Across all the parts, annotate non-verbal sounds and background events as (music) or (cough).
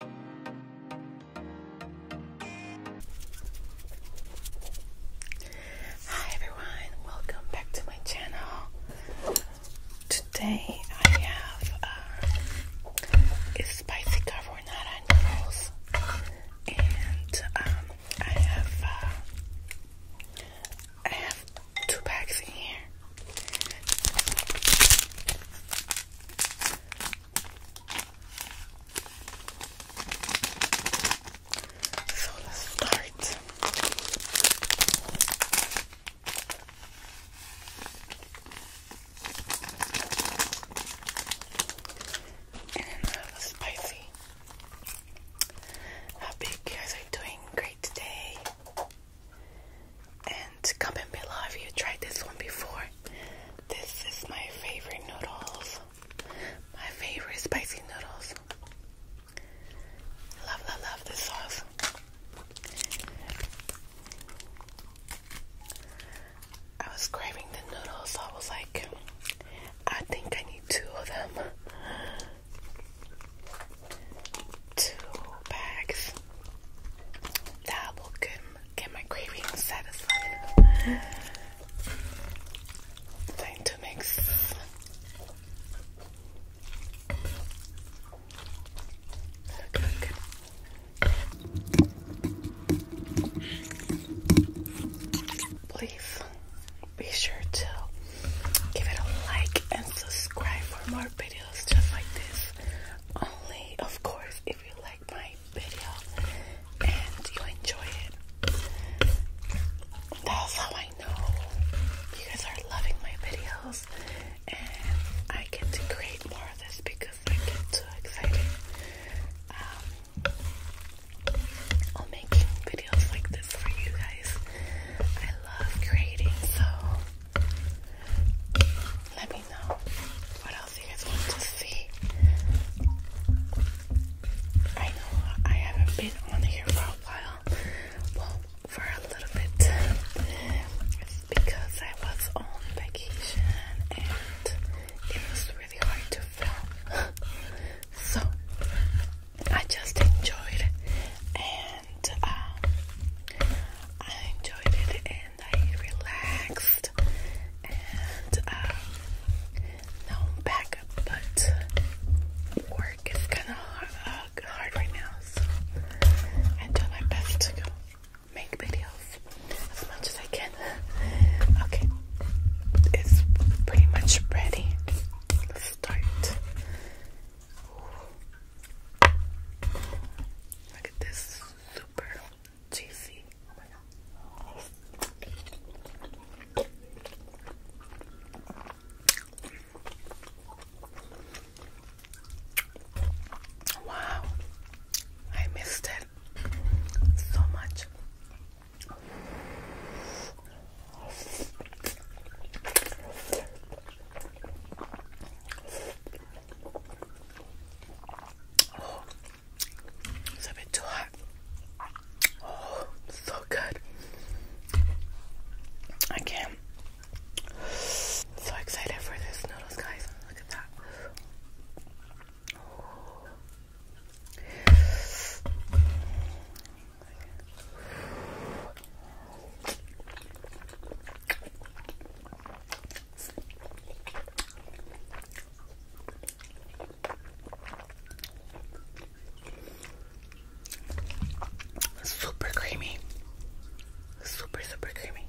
Hi everyone, welcome back to my channel. Today I have uh, a spicy carbonara noodles, and um, I have uh, I have two bags in here. So let's start. And another uh, spicy. How big you guys are doing great today. And comment below if you tried this one before. This is my favorite noodles. My favorite spicy noodles. Love, love, love this sauce. I was craving the noodles, so I was like, I think I need two of them two bags. That will get, get my cravings satisfied. Time to mix. Please be sure to give it a like and subscribe for more videos just like this. Only, of course, if you like my video and you enjoy it. That's how I know you guys are loving my videos, and I get to create more of this because I get too excited. I'm um, making videos like this for you guys. I love creating, so let me know what else you guys want to see. I know I haven't been on here for a while. Well, for a little bit. It's because I was on vacation and it was really hard to film. (laughs) so, I just enjoyed and uh, I enjoyed it and I relaxed and uh, now I'm back but work is kind of uh, hard, right now so I do my best to go make videos as much as I can okay it's pretty much ready let's start Look at this super cheesy. Oh my god. Wow, I missed it so much. Oh, it's a bit too hot. Oh, so good. I can't. So excited for this noodles, guys. Look at that. Super creamy, super, super creamy.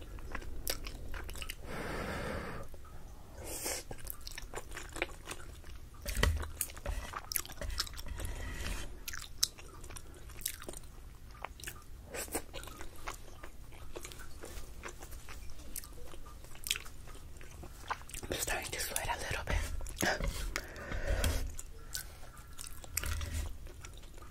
I'm starting to sweat a little bit.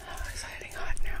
Oh, it's getting hot now.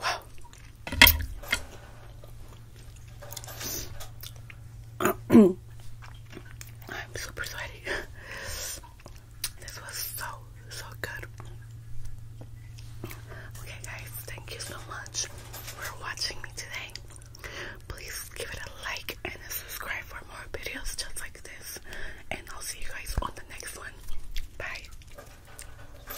Wow. (clears throat) I'm super sweaty. This was so, so good. Okay, guys, thank you so much for watching me today. Please give it a like and subscribe for more videos just like this. And I'll see you guys on the next one. Bye.